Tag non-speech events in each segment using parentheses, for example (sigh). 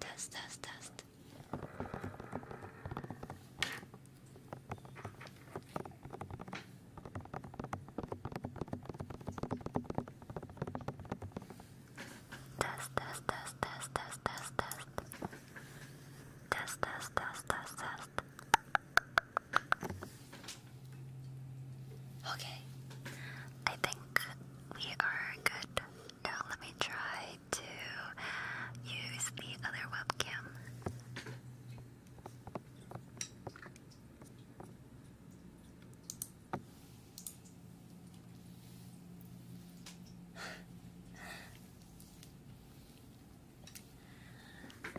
Test, test, test. Test, test, test, test, test, test, test. Test, test, test, test, test. Okay. I think we are good. Now let me try to use the other webcam.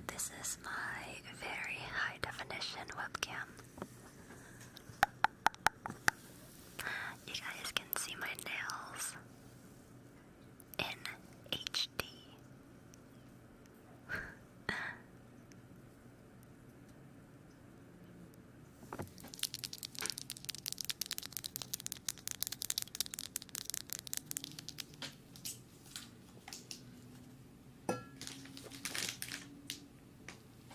This is my very high definition webcam. You guys can see my nails in HD.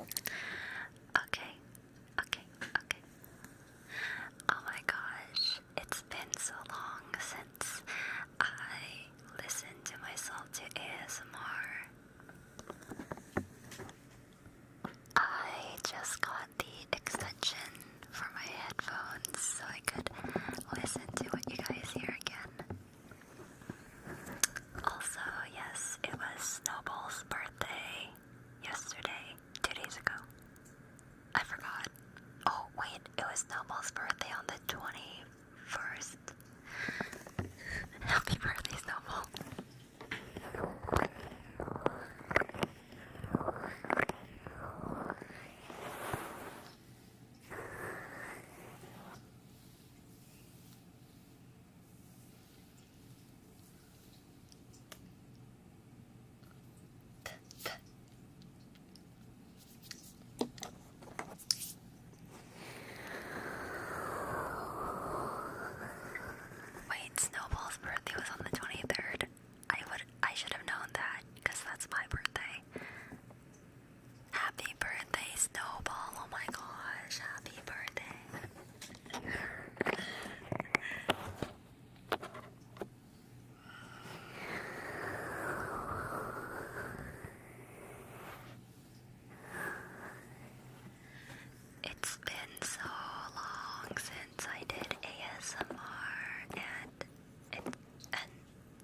Okay, okay, okay. Oh my gosh, it's been so long since I listened to myself to ASMR. I just got the extension for my headphones so I could listen to what you guys hear again. Also, yes, it was Snowball's birthday yesterday, two days ago. I forgot. Oh, wait, it was Snowball's birthday on the 20th first. Happy birthday, Snowball. Wait, Snowball's birthday was on the 23rd. I would I should have known that because that's my birthday. Happy birthday, Snowball. Oh my gosh, happy birthday. It's been so long since I did ASMR and and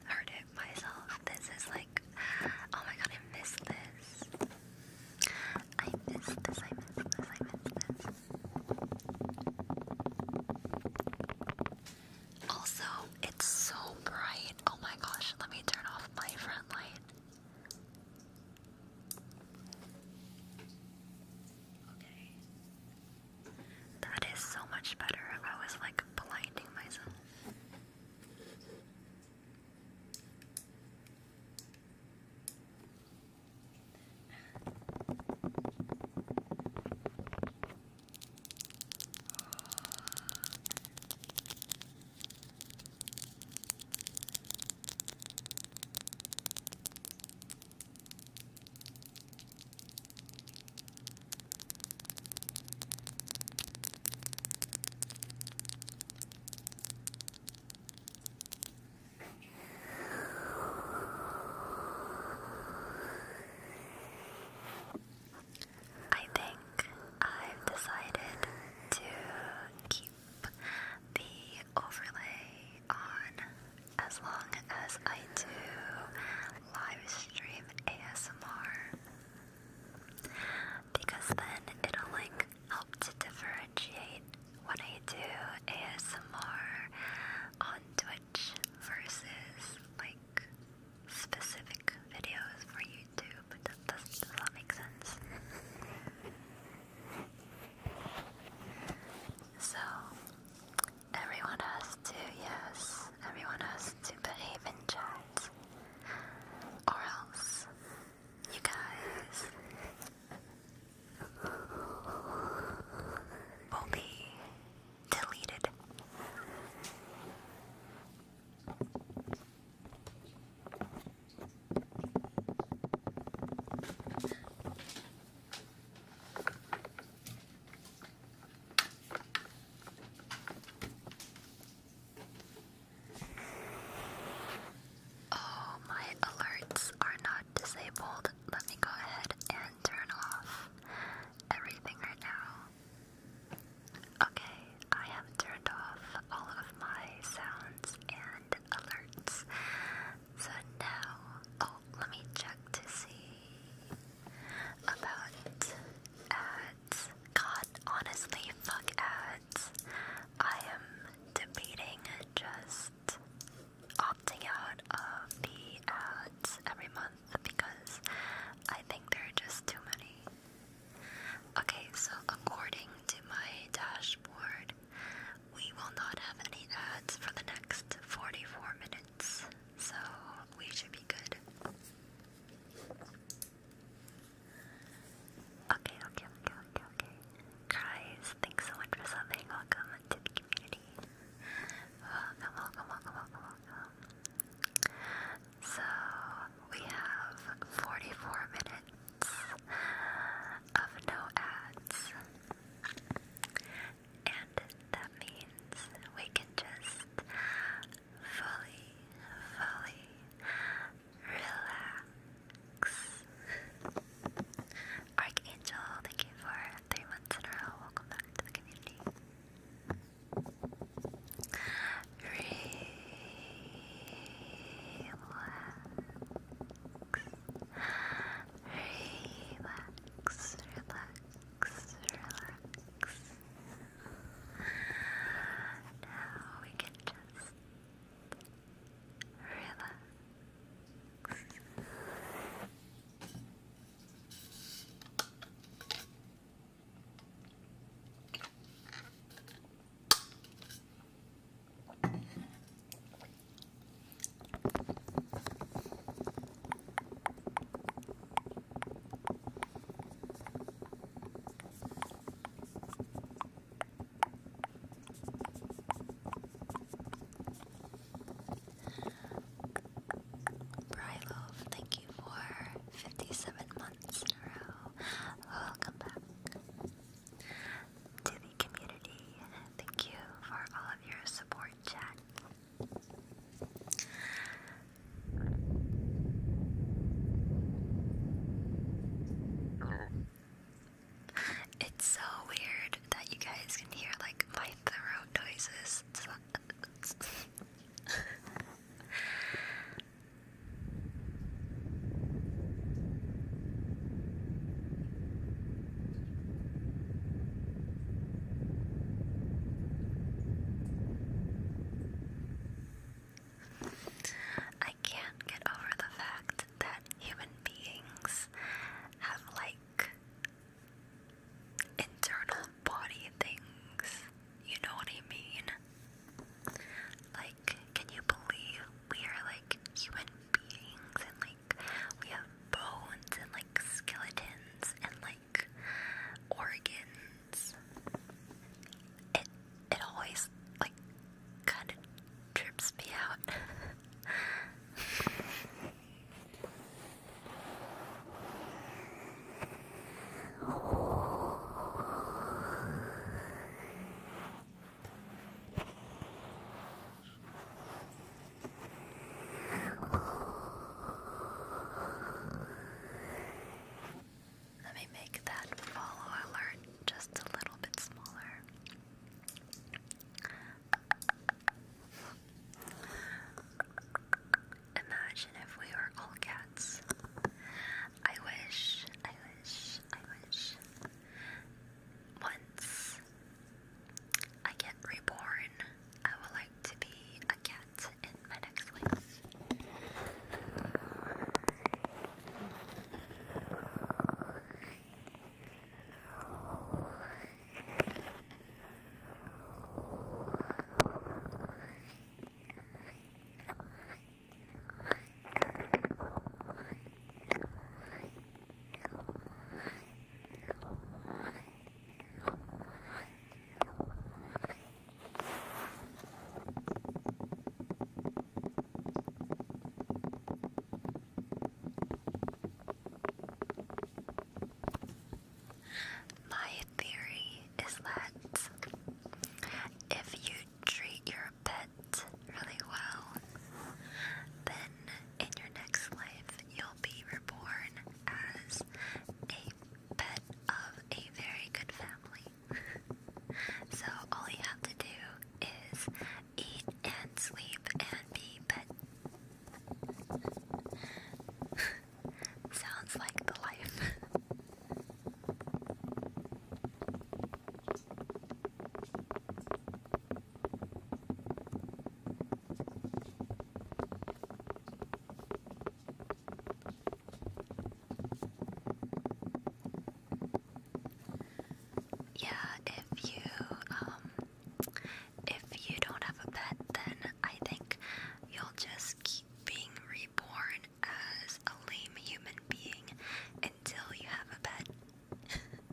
heard it myself. This is like, oh my god, I miss this. I miss this, I miss this, I miss this. Also, it's so bright. Oh my gosh, let me turn off my front light. Okay. That is so much better. I was like blinding myself. I think I've decided to keep keep the overlay on as long as I do live stream ASMR because then it'll like help to differentiate what I do ASMR on Twitch versus like specific videos for YouTube true, but does that make sense? so, everyone has to, yes, everyone has to behave in chat, or else, you guys will be deleted. Oh, my alerts are not disabled. Let me go ahead and turn off everything right now. Okay, I have turned off all of my sounds and alerts. So now, oh, let me check to see about ads. God, honestly, fuck ads. I am debating just opting out of the ads every month because I think there are just too many. Okay, so according to my dashboard, we will not have any ads for the next 44 minutes, so we should be good. Okay, okay, okay, okay, okay. Guys, thanks so much for subbing. Welcome to the community. Welcome, welcome, welcome, welcome, welcome. So, we have 44 minutes of no ads. And that means we can just fully, fully relax. Archangel, thank you for three months in a row. Welcome back to the community relax, relax, relax. Now we can just relax. Brylove, thank you for 57 months in a row. Welcome back to the community. Thank you for all of your support, chat. It's so weird that you guys can hear like my throat noises. (laughs) (laughs) I can't get over the fact that human beings have like internal body things. You know what I mean? Like, can you believe we are like human beings and like we have bones and like skeletons and like organs. It it always like kind of trips me out. (laughs) Let me make that follow alert just a little bit smaller. Imagine if we were all cats. I wish, I wish, I wish once I get reborn, I would like to be a cat in my next life. My theory is that if you treat your pet really well, then in your next life you'll be reborn as a pet of a very good family. (laughs) so all you have to do is eat and sleep and be pet. (laughs) Sounds like the life. (laughs) Yeah, if you um, if you don't have a pet then I think you'll just keep being reborn as a lame human being until you have a bed. (laughs)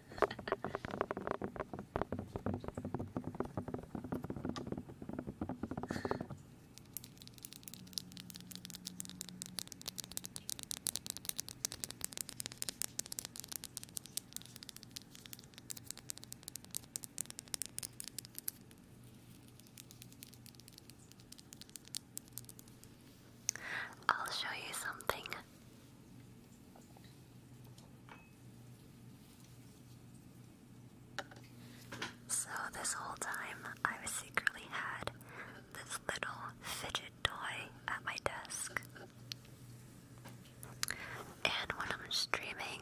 I'll show you something. So, this whole time, I have secretly had this little fidget toy at my desk. And when I'm streaming,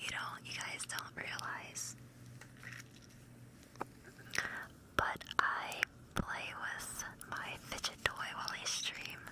you know, you guys don't realize. But I play with my fidget toy while I stream.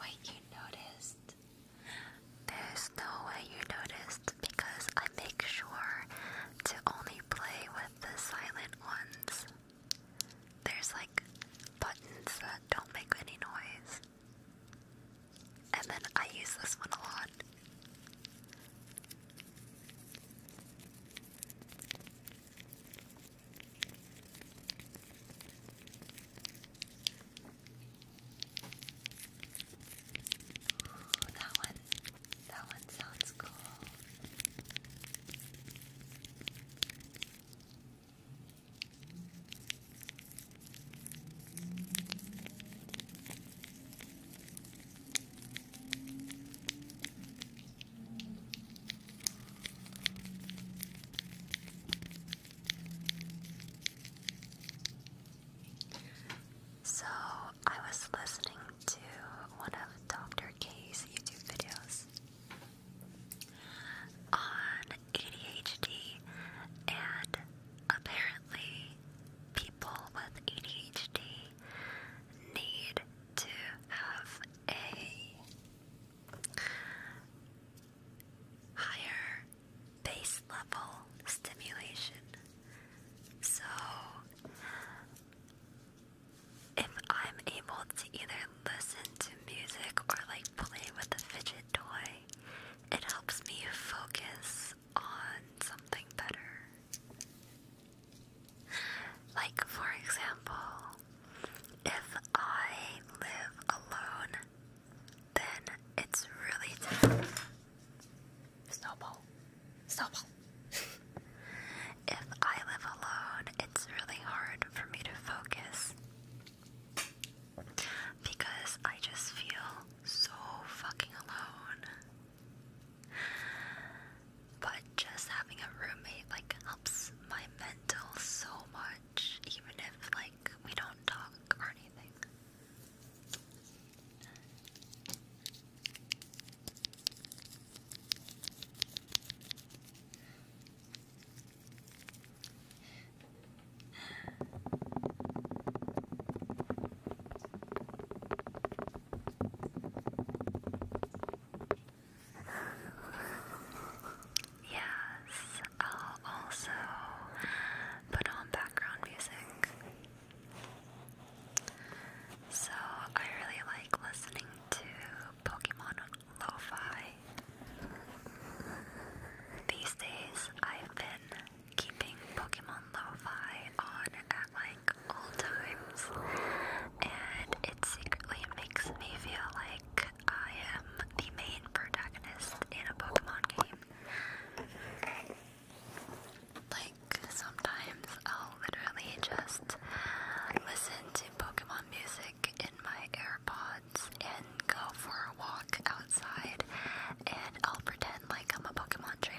Wait, you noticed? There's no way you noticed because I make sure to only play with the silent ones. There's like buttons that don't make any noise. And then I use this one a lot. Ooh, that one, that one sounds cool. So, I was listening to one of Dr. K's YouTube videos, on ADHD, and apparently, people with ADHD need to have a higher base level stimulation. So, if I'm able to either listen to music or like play with a fidget toy, it helps me focus on something better. Like, for example, if I live alone, then it's really tough. Snowball. Snowball. (laughs) if I live alone, it's really hard for me to focus because I just feel so fucking alone. But just having a roommate like helps my mental so much, even if like we don't talk or anything. Yes, I'll also put on background music. So I really like listening to Pokemon lo these days, I've been keeping Pokemon Lo-Fi on at like all times, and it secretly makes me feel like I am the main protagonist in a Pokemon game. Like, sometimes I'll literally just listen to Pokemon music in my ear. AirPods and go for a walk outside, and I'll pretend like I'm a Pokemon trainer.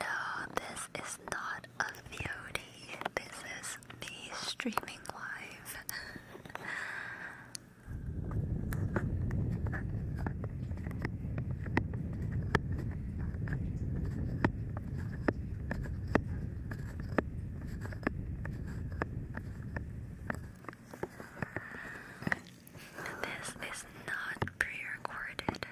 No, this is not a VOD. This is me streaming live. This is not pre-recorded.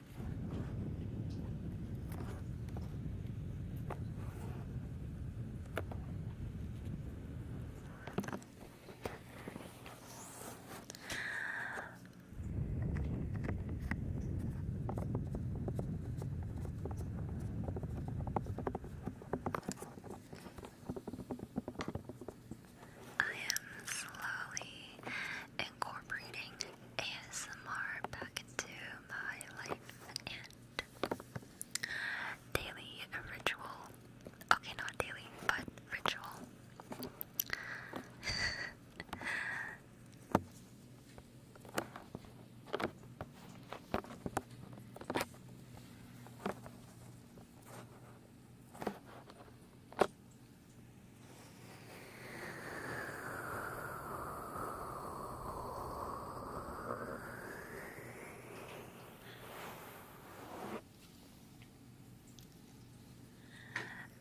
I am slowly incorporating ASMR back into my life and daily ritual. Okay, not daily, but ritual.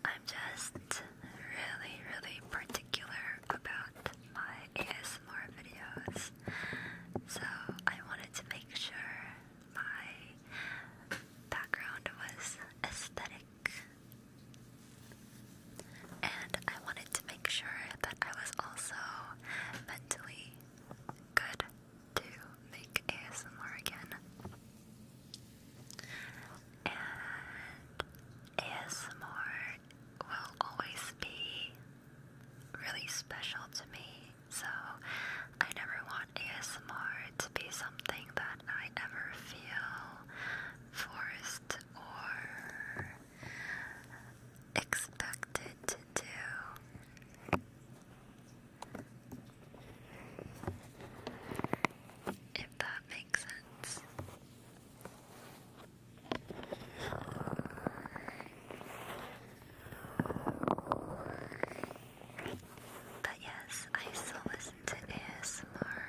I'm just really, really particular about my ASMR videos, so I wanted to make sure my background was aesthetic and I wanted to make sure that I was also mentally good to make ASMR again. And ASMR will always be really special to me, so I never want ASMR to be something that I ever feel forced or expected to do. If that makes sense. But yes, I still listen to ASMR.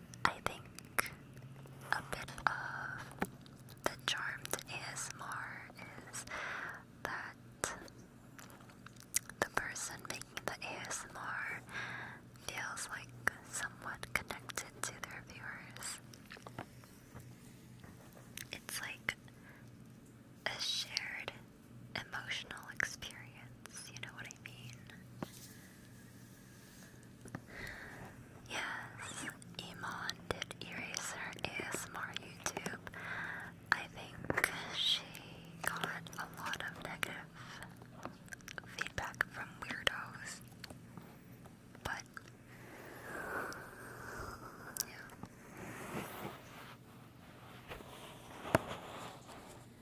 I think a bit of the charmed to ASMR is that the person making the ASMR feels like somewhat connected to their viewers. It's like a shared emotional experience, you know what Yes, Iman did erase ASMR YouTube. I think she got a lot of negative feedback from weirdos. But yeah.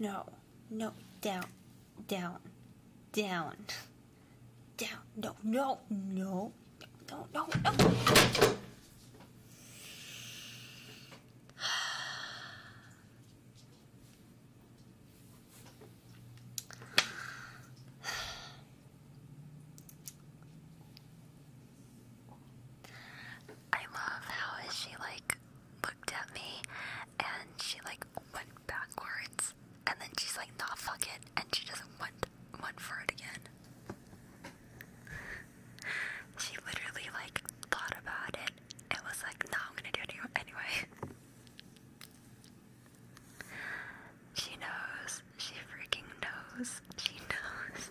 No, no, down, down, down, down. No, no, no, no, no, no. I love how she like looked at me and she like went backwards, and then she's like, "Nah, fuck it," and she doesn't want want for it again. she literally like thought about it and was like, "No, nah, I'm gonna do it anyway." she knows. She freaking knows. She knows.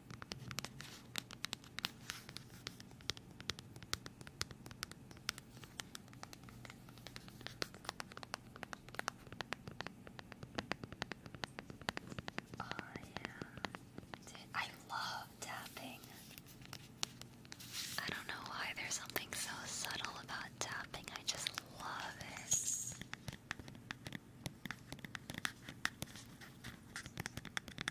Oh, yeah. Dude, I love tapping. I don't know why there's something so subtle about tapping. I just love it.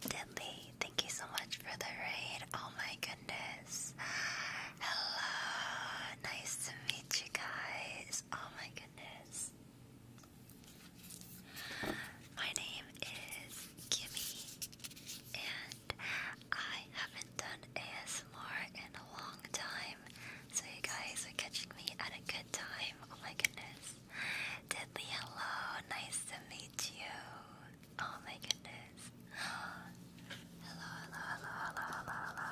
Deadly, thank you so much for the raid. Oh my goodness. Hello, nice to meet you guys. Oh my goodness. My name is Kimmy, and I haven't done ASMR in a long time. So you guys are catching me at a good time. Oh my goodness. Deadly, hello. Nice to meet you. Oh my goodness. (gasps) Hello, hello, hello, hello, hello,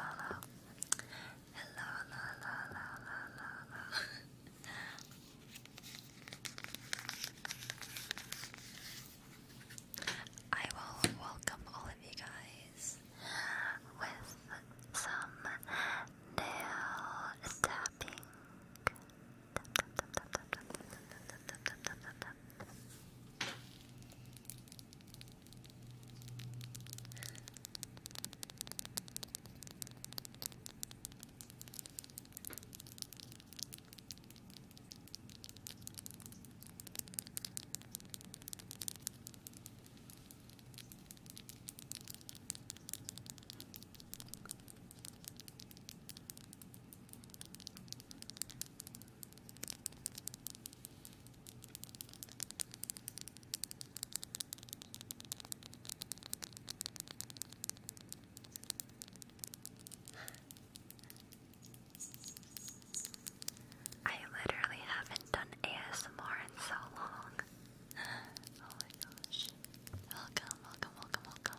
hello, hello. Hello, hello, hello, hello, I will welcome all of you guys with some nail tapping. I literally haven't done ASMR in so long oh my gosh. Welcome, welcome, welcome, welcome.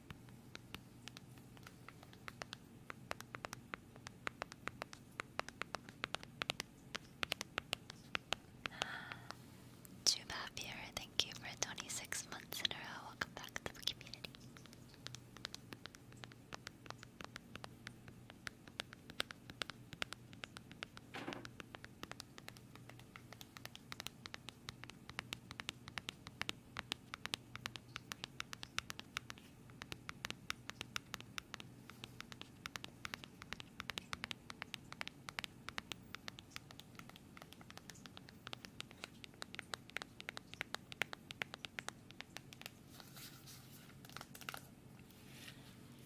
Juba Beer, thank you for 26 months in a row. Welcome back to the community.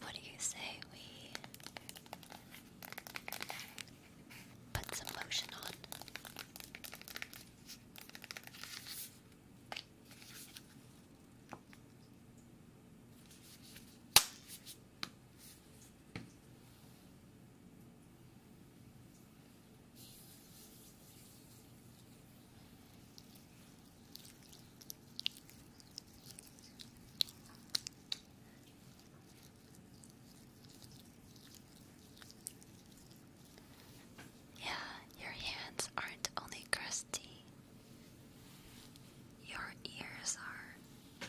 What do you say we put some lotion on. Yeah, your hands aren't only crusty, your ears are.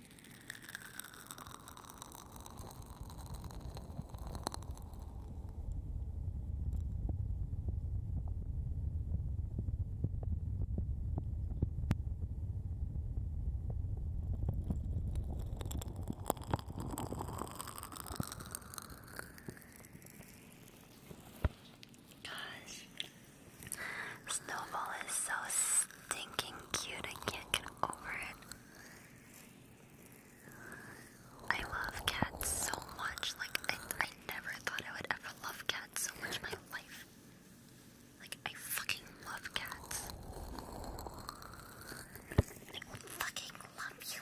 Gosh, Snowball is so stinking cute. I can't get over it. I love cats so much. Like, I, I never thought I would ever love cats so much in my life. Like, I fucking love cats. I fucking love you.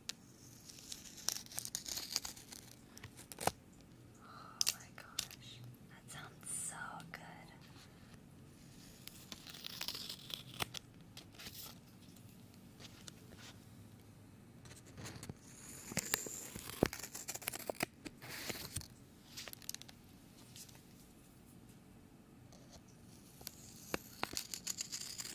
Oh my gosh, that sounds so good.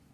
Ribbon.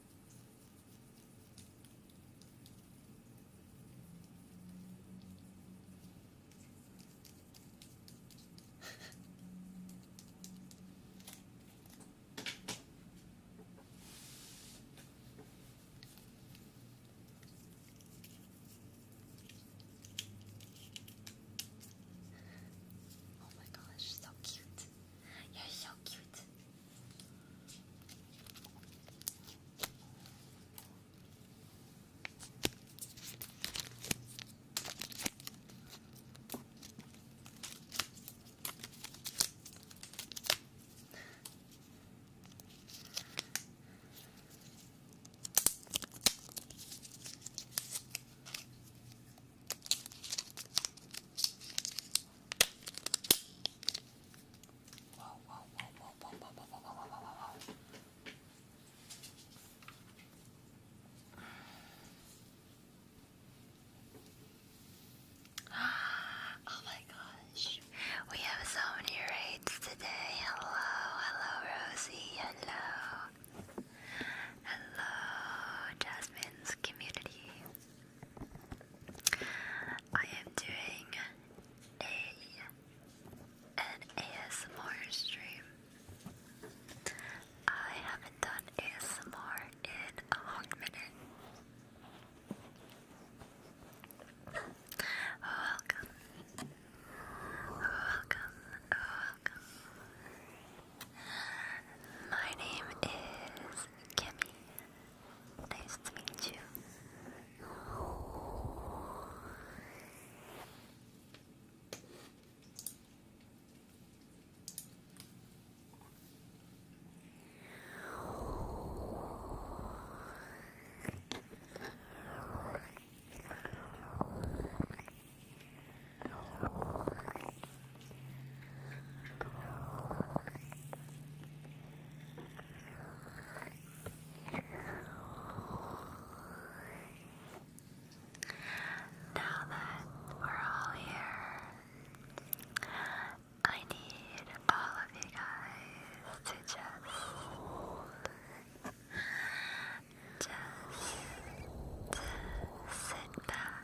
oh my gosh, so cute. You're so cute. Wow, Oh my gosh. We have so many raids today. Hello, hello Rosie, hello. Hello Jasmine's community. I am doing a an ASMR stream. I haven't done ASMR in a long minute. Oh, welcome. Oh, welcome. Oh, welcome. My name is Kimmy. Nice to meet you. Now that we're all here, I need all of you guys to just, just sit back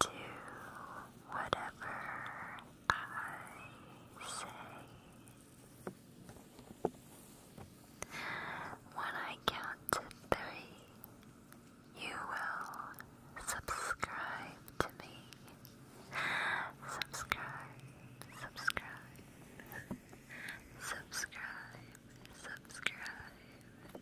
do whatever I say. When I count to three, you will subscribe to me. Subscribe, subscribe, subscribe, subscribe,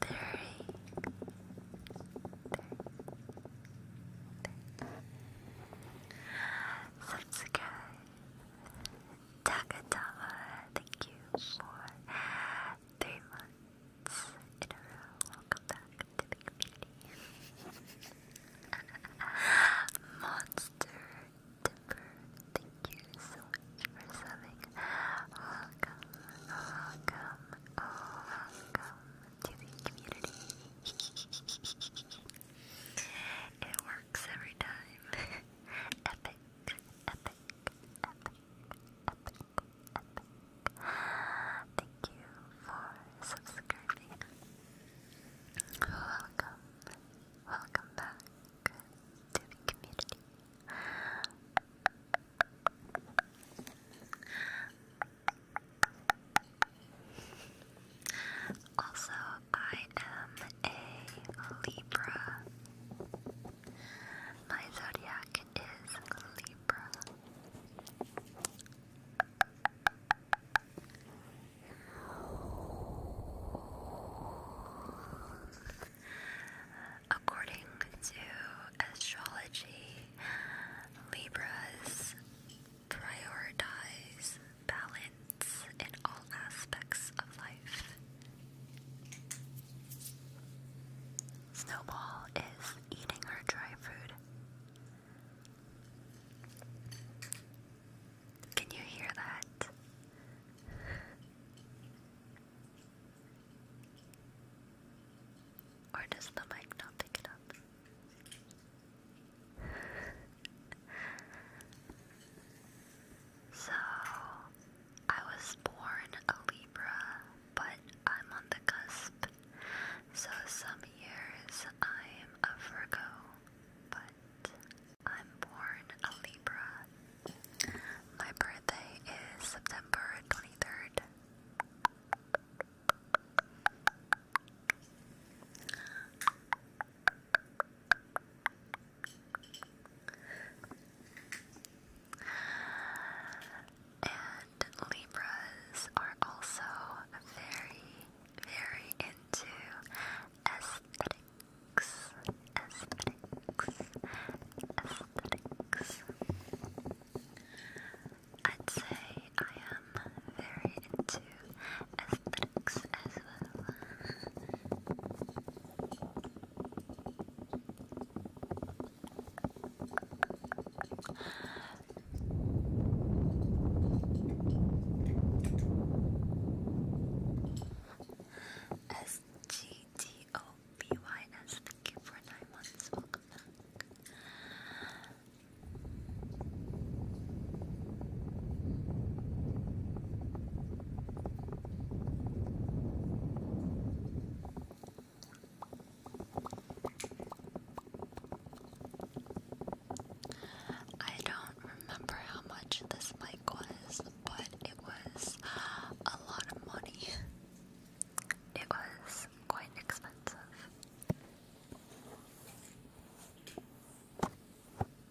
Three. Subscribe. Takadama, thank you for three months in a row. Welcome back to the community. (laughs) Monster Timber, thank you so much for subbing welcome, welcome, welcome to the community. (laughs) it works every time. (laughs) epic, epic, epic, epic, epic. Thank you for subscribing. Welcome, welcome back to the community. Also, I am a Libra. My zodiac is Libra. According to astrology, Libras prioritize balance in all aspects of life. Snowball is eating her dry food. Can you hear that? Or does the mic not pick it up? so, I was born a Libra, but I'm on the cusp. So, some years I'm a Virgo, but I'm born a Libra. My birthday is September 23rd. And Libras are also very, very into aesthetics, aesthetics, aesthetics. I'd say I am very into aesthetics as well. SGT P-O-B-Y-S, thank you for nine months, welcome back. I don't remember how much this mic was, but it was a lot of money it was quite expensive.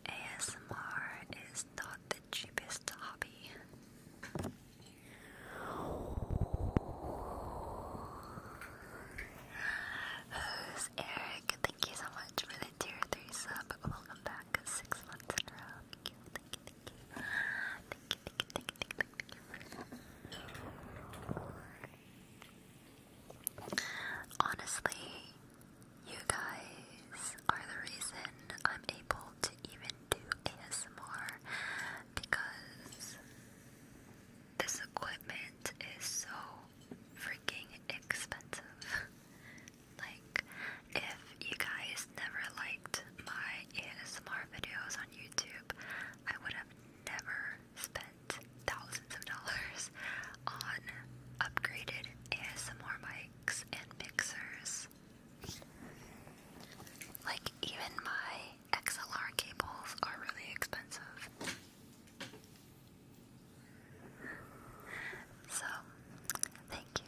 ASMR is not the cheapest hobby. Who's Eric? Thank you so much for the tier 3 sub. Welcome back. Six months in a row. Thank you, thank you, thank you. Honestly, you guys are the reason I'm able to even do ASMR because this equipment is so freaking expensive. like, if you guys never liked my ASMR videos on YouTube, I would have never spent thousands of dollars on upgraded ASMR mics and mixers. Like, even my XLR cables are really expensive. So, thank you.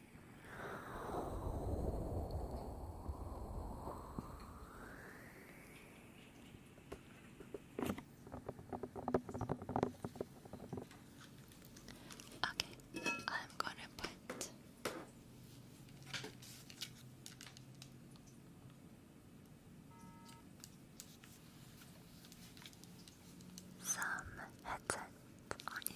Okay, I'm going to put some headset on you.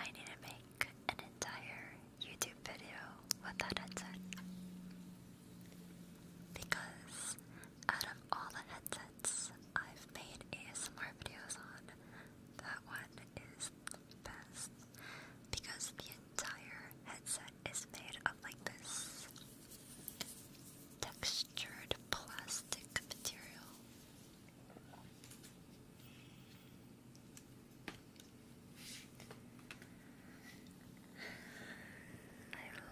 I need to make an entire YouTube video with that headset because out of all the headsets I've made ASMR videos on. That one is best because the entire headset is made of like this textured plastic material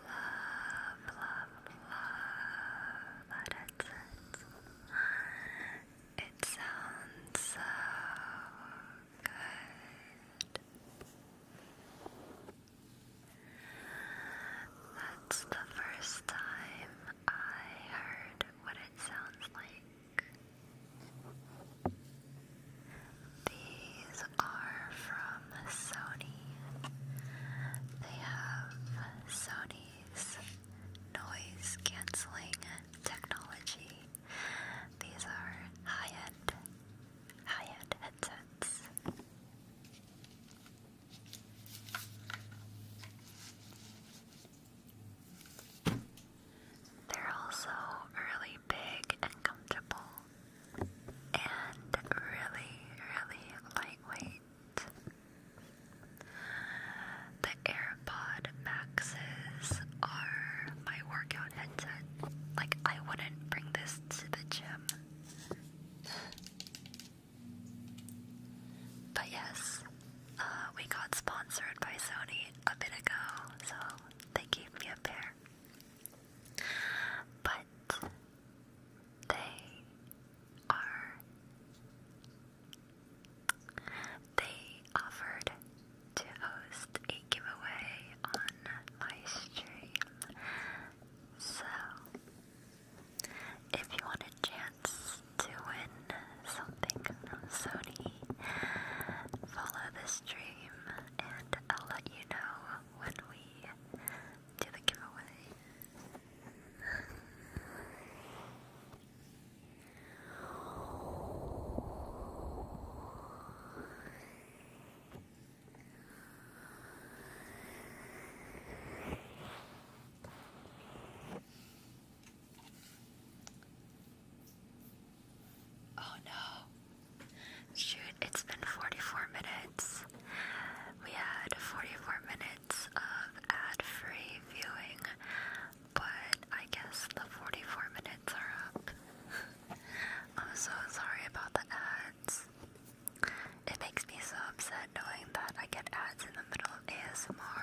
love, love, love that headset. It sounds so good. That's the first time I heard what it sounds like. These are from Sony. They have Sony noise cancelling technology. These are high-end high-end headsets. They're also really big and comfortable and really, really lightweight. The AirPod Maxes are my workout headset. Like, I wouldn't bring this to the gym. But yes, uh, we got sponsored by Sony a bit ago, so they gave me a pair. But they are they offered to host a giveaway on my stream. So if you want a chance to win something Sony, follow the stream and I'll let you know when we do the giveaway. Oh no. Shoot, it's been 44 minutes. We had 44 minutes of ad-free viewing, but I guess the 44 minutes are up. (laughs) I'm so sorry about the ads. It makes me so upset knowing that I get ads in the middle of ASMR.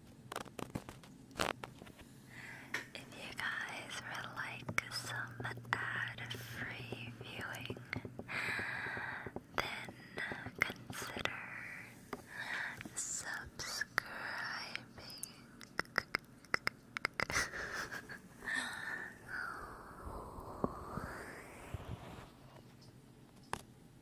If you guys would like some ad-free viewing, then consider subscribing. (laughs)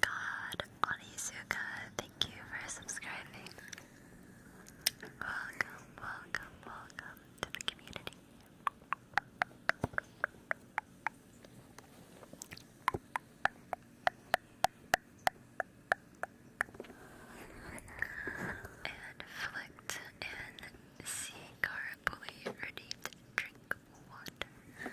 God, Onisuka, thank you for subscribing. Welcome, welcome, welcome to the community. And flicked and see carefully ready to drink water.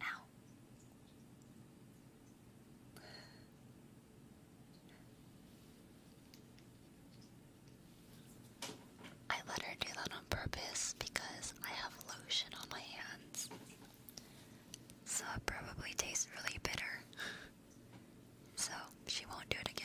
Ow. I let her do that on purpose because I have lotion on my hands. So it probably tastes really bitter. So she won't do it again.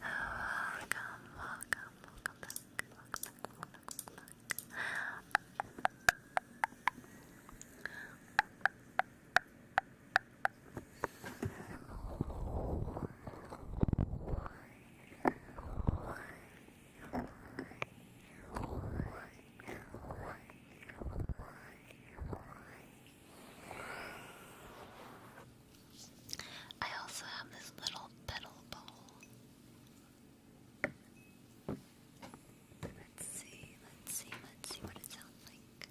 welcome, welcome, welcome back, welcome back, welcome back, welcome back. Hello, I also have this little pedal bowl. Let's see, let's see, let's see what it sounds like.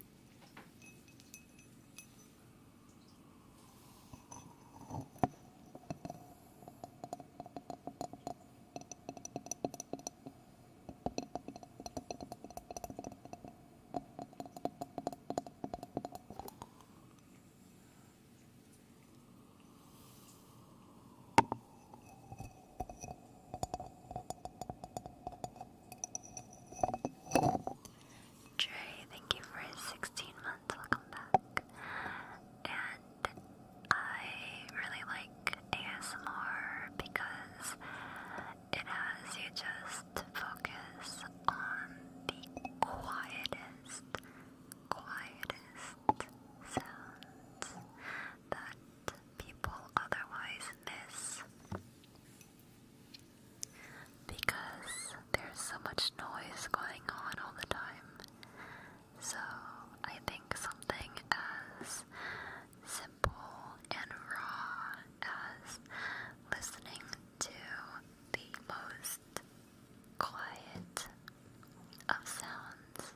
Trey, thank you for 16 months. Welcome back. And I really like ASMR because it has you just focus on the quietest, quietest sounds that people otherwise miss. Because there's so much noise going on all the time. So I think something as simple and raw as listening to the most quiet of sounds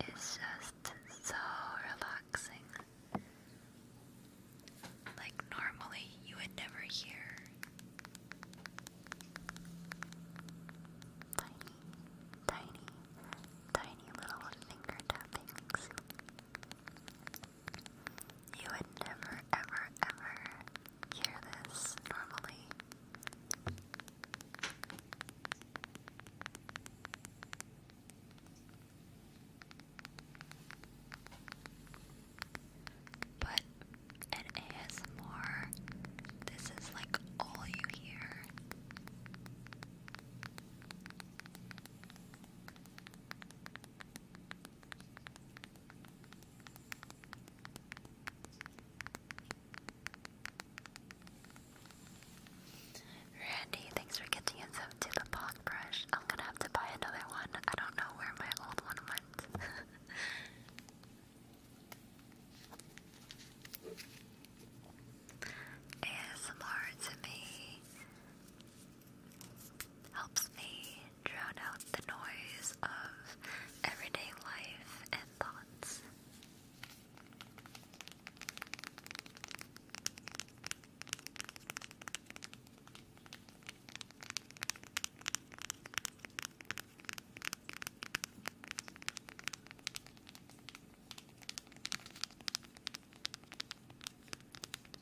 is just so relaxing. Like normally you would never hear tiny, tiny, tiny little finger tappings you would never, ever, ever hear this normally. But in ASMR, this is like all you hear. Randy, thanks for getting us to the bog brush. I'm gonna have to buy another one. I don't know where my old one went. ASMR (laughs) to me helps me drown out the noise of everyday life and thoughts.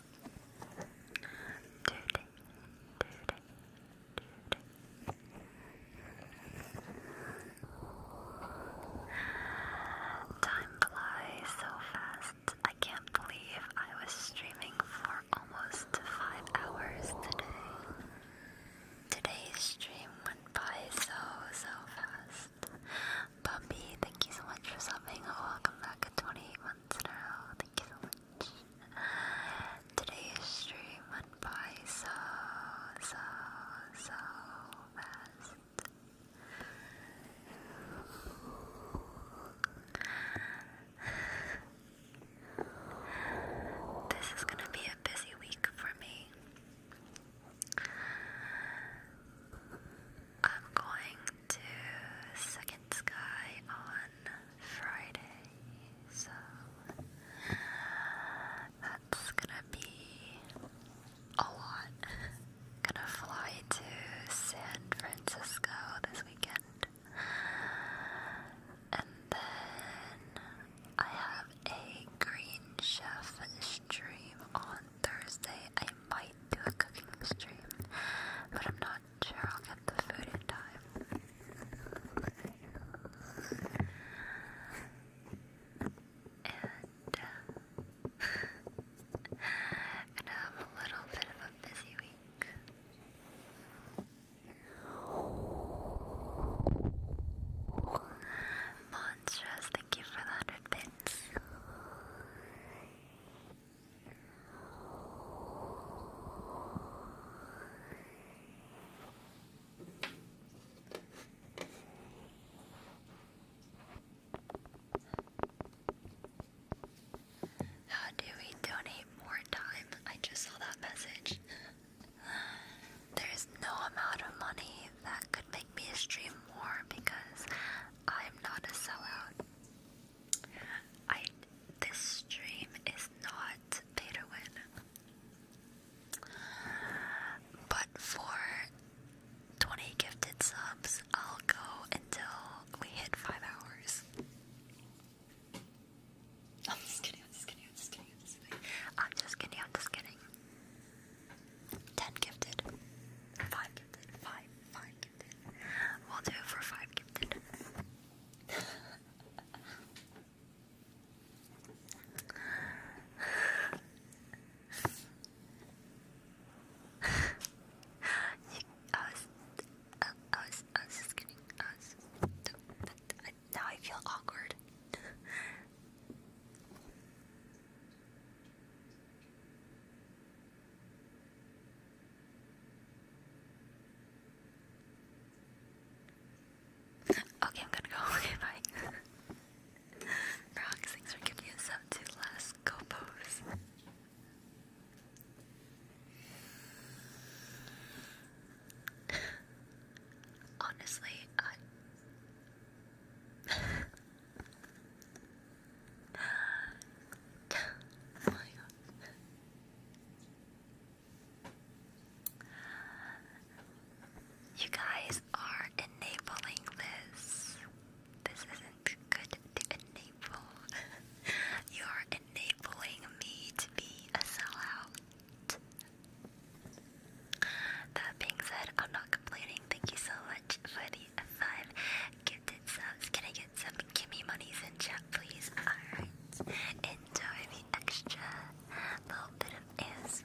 Duty, duty, duty. Time flies so fast. I can't believe I was streaming for almost five hours today. Today's stream went by so, so fast. Bobby, thank you so much for subbing. Welcome back at 28 months in a row thank you so much. Today's stream went by so, so, so fast. This is gonna be a busy week for me. I'm going to Second Sky on Friday, so that's gonna be a lot. Gonna fly to San Francisco this weekend, and then I have a Green Chef stream on Thursday. I might do a cooking stream, but I'm not sure I'll get the food in time. And, uh, have (laughs) a little bit of a busy week. Monstrous, thank you for the 100 bits. How do we donate more time? I just saw that message. There's no amount of money that could make me stream more because I'm not a sellout. I this stream is not pay to win, but for 20 gifted subs, I'll go until we hit five hours. am (laughs) just kidding, I'm just kidding, I'm just kidding, I'm just kidding. I'm just kidding, I'm just kidding. 10 gifted, 5 gifted. Five, five We'll do it for five (laughs) I was, I was, I was just kidding. now I feel awkward. (laughs) Okay, I'm gonna go. (laughs) Okay, bye. (laughs) Rox, thanks for giving me a sub to last go pose. (sighs) Honestly, I. (laughs) You guys are enabling this. This isn't good to enable. (laughs) you are enabling me to be a sellout. That being said, I'm not complaining. Thank you so much for the five can I get some gimme monies in chat, please? Alright. Enjoy the extra little bit of ASMR.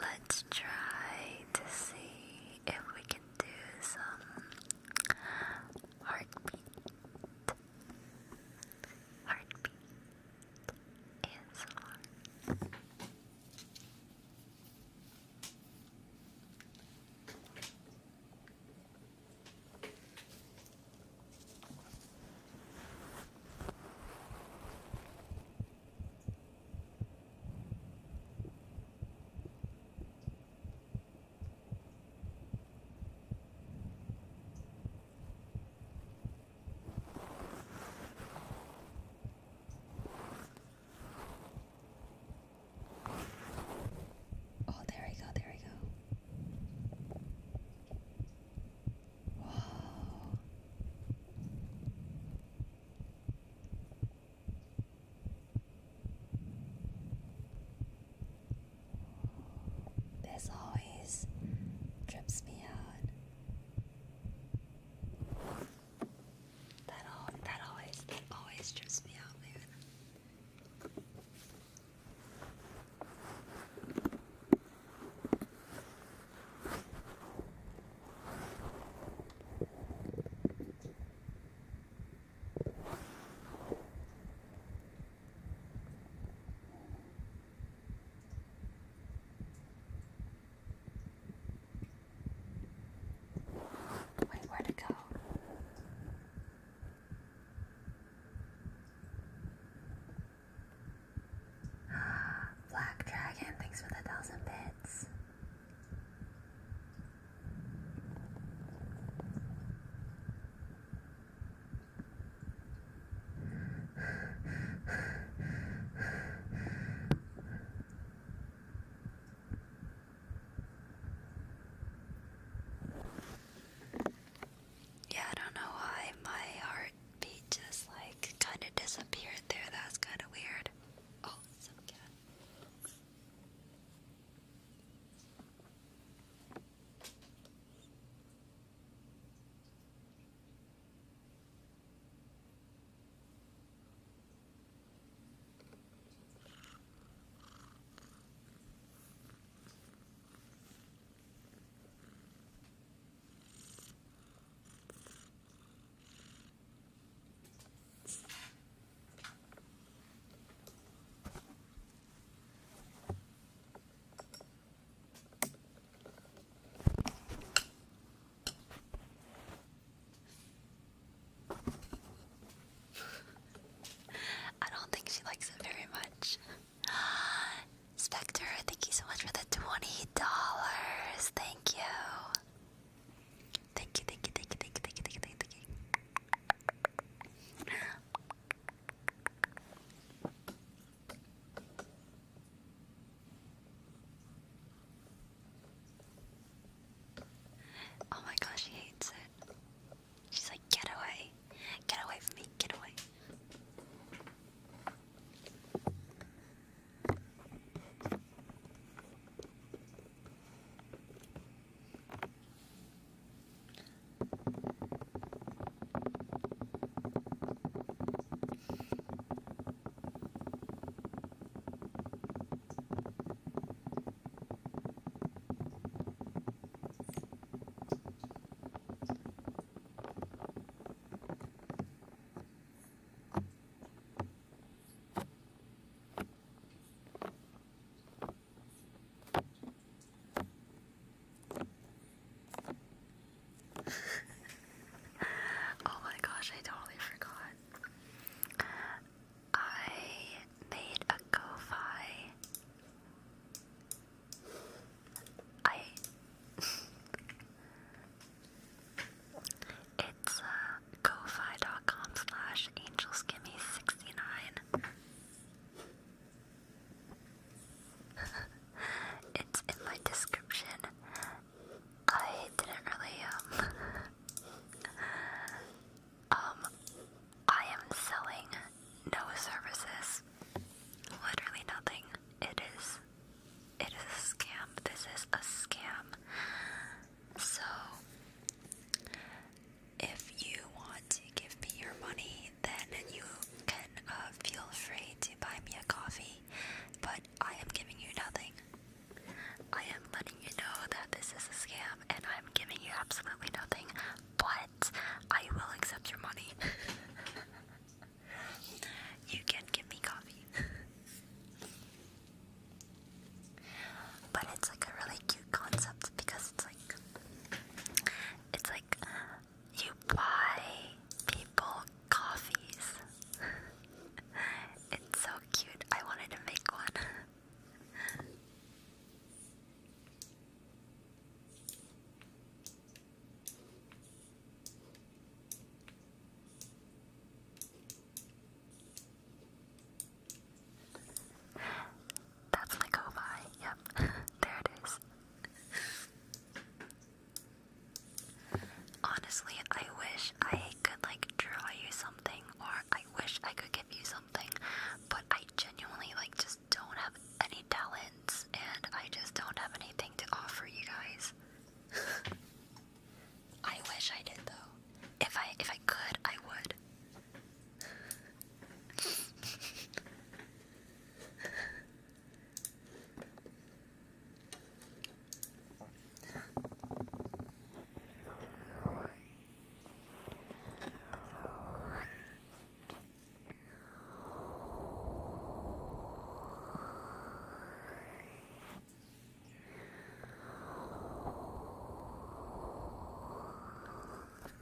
Let's try to see if we can do some heartbeat, heartbeat, and some heart. Oh, there we go, there we go. Whoa. This always trips me out. That all that always always trips me out, man. Wait, where to go? Black Dragon, thanks for the thousand bits. Yeah, I don't know why my heart beat just like kind of disappeared there. That's kind of weird. Oh, I don't think she likes it very much. (gasps) Spectre, thank you so much for the twenty dollars. Thank you. Thank you, thank you, thank you, thank you, thank you, thank you, Oh my gosh, he hates it. She's like, get away. Get away from me. Get away. (laughs) oh my gosh, I totally forgot. I made a ko I it's uh ko-fi.com slash angelskimmy69. (laughs) it's in my description. I didn't really um (laughs) um I am selling no services, literally nothing. It is, it is a scam. This is a scam. So, if you want to give me your money, then you can uh, feel free to buy me a coffee. But I am giving you nothing. I am letting you know that this is a scam, and I'm giving you absolutely nothing. But I will accept your money. (laughs) you can give me coffee. but it's like a really cute concept because it's like it's like you buy people coffees. (laughs) it's so cute. I wanted to make one. (laughs) That's my go Yep, (laughs) there it is. Honestly, I wish I could like draw you something, or I wish I could give you something, but I genuinely like just don't have any talents and I just don't have anything to offer you guys. (laughs) I wish I did though. If I if I could, I would. (laughs) I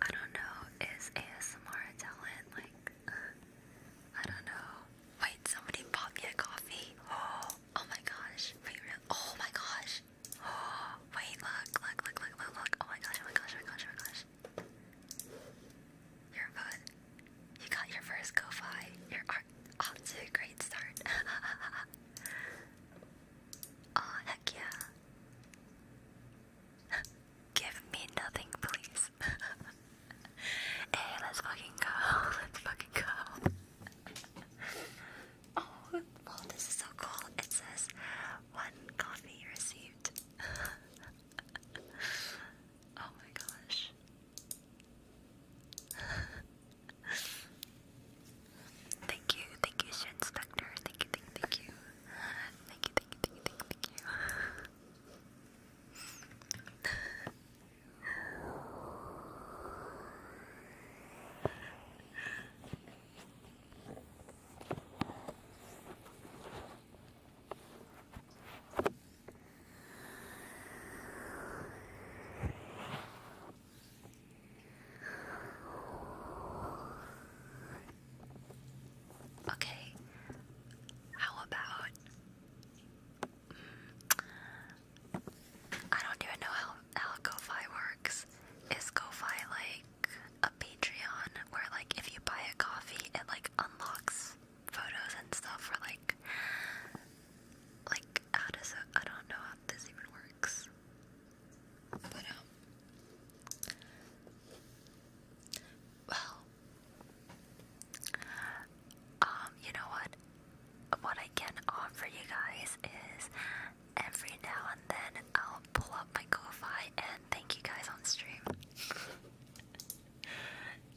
don't know, is ASMR talent? Like, I don't know. Wait, somebody bought me a coffee. Oh, oh my gosh. Oh my gosh. Oh, (gasps) wait, look, look, look, look, look. Oh my gosh, oh my gosh, oh my gosh, oh my gosh. Oh you're You got your first go-fi. You're off to a great start. oh (laughs) heck yeah. (laughs) Give me nothing, please. (laughs) hey, let's fucking go. Let's fucking go. oh, this is so cool. It says, one coffee received oh my gosh. thank you, thank you, Shin Spectre. Thank you, thank you. Thank you, thank you, thank you, thank you, thank you. Okay, how about I don't even know how how ko works. Is ko like a Patreon where like if you buy a coffee it like unlocks photos and stuff for like like how does it, I don't know how this even works. But um well um you know what what I can offer you guys is every now and then I'll pull up my ko and thank you guys on stream. (laughs)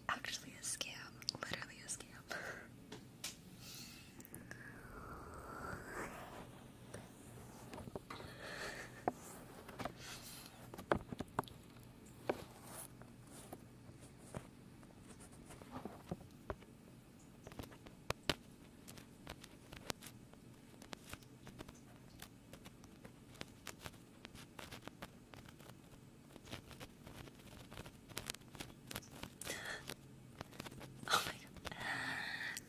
actually a scam, literally a scam. (laughs) oh my god.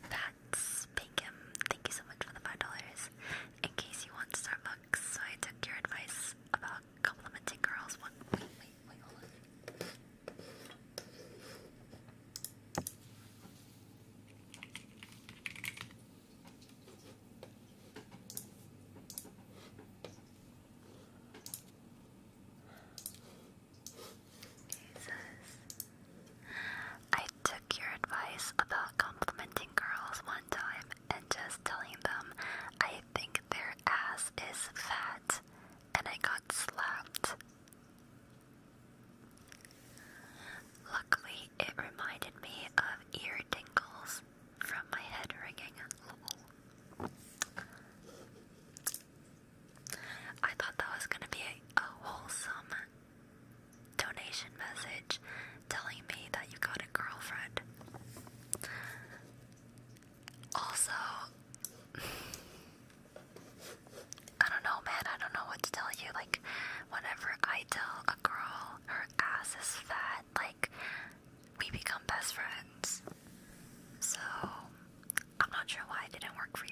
That's Pinkham. Thank you so much for the $5. In case you want Starbucks, so I took your advice about complimenting girls. wait, wait, wait, hold on. Jesus. I took your advice about complimenting girls one time and just telling them I think their ass is fat, and I got slapped. Luckily, it reminded me of ear tingles from my head ringing. I thought that was gonna be a wholesome donation message telling me that you got a girlfriend. Also, I don't know, man. I don't know what to tell you. Like, whenever I tell a girl her ass is fat like we become best friends. So I'm not sure why it didn't work for you.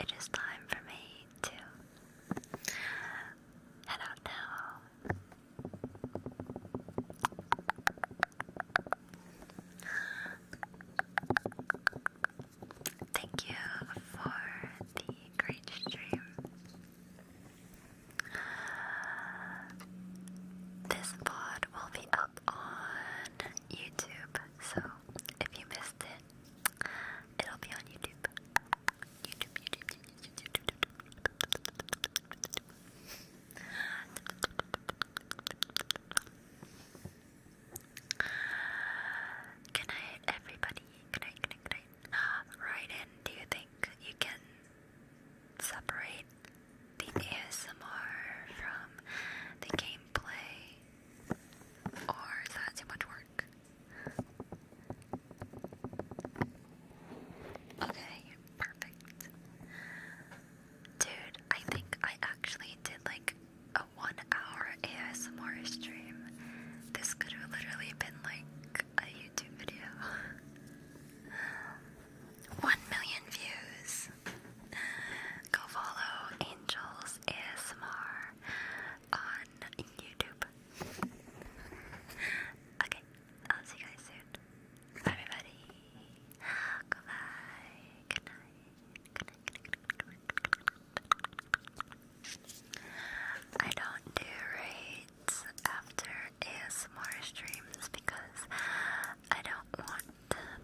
it is time for me to head out now. Thank you for the great stream. This pod will be up on YouTube, so if you missed missed it, will be on YouTube. YouTube, YouTube, YouTube, YouTube, YouTube. Good night, everybody. Good night, good night, good night. Right in, do you think you can separate the ASMR from the gameplay? Or is that too much work? Okay, perfect. Dude, I think I actually did like a one hour ASMR stream. This could have literally been like a YouTube video. (laughs) one million views. Go follow Angels ASMR on on YouTube. okay, I'll see you guys soon. Bye, everybody. Goodbye. Good night. I don't do raids after ASMR streams because I don't want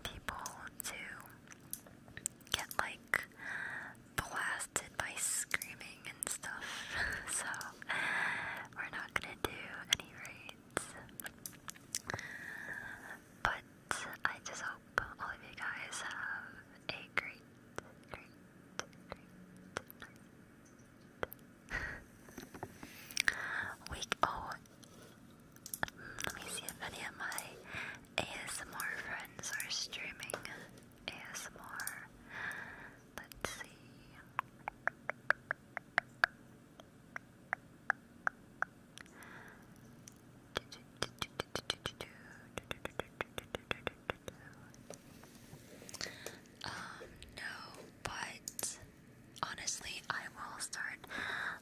people to get like blasted by screaming and stuff. (laughs) so we're not gonna do any raids. But I just hope all of you guys have a great, great, great (laughs) Week oh let me see if any of my ASMR friends are streaming. ASMR. Let's see. Um, no, but honestly, I will start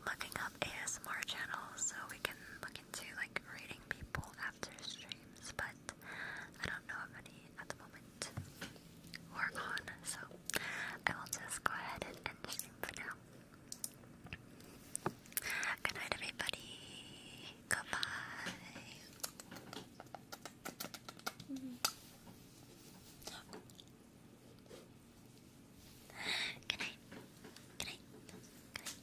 looking up ASMR channels so we can look into like rating people after but I don't know of any at the moment or on, so I will just go ahead and end the stream for now. Good night, everybody. Goodbye. Mm-hmm. Good night. Good night. Good night.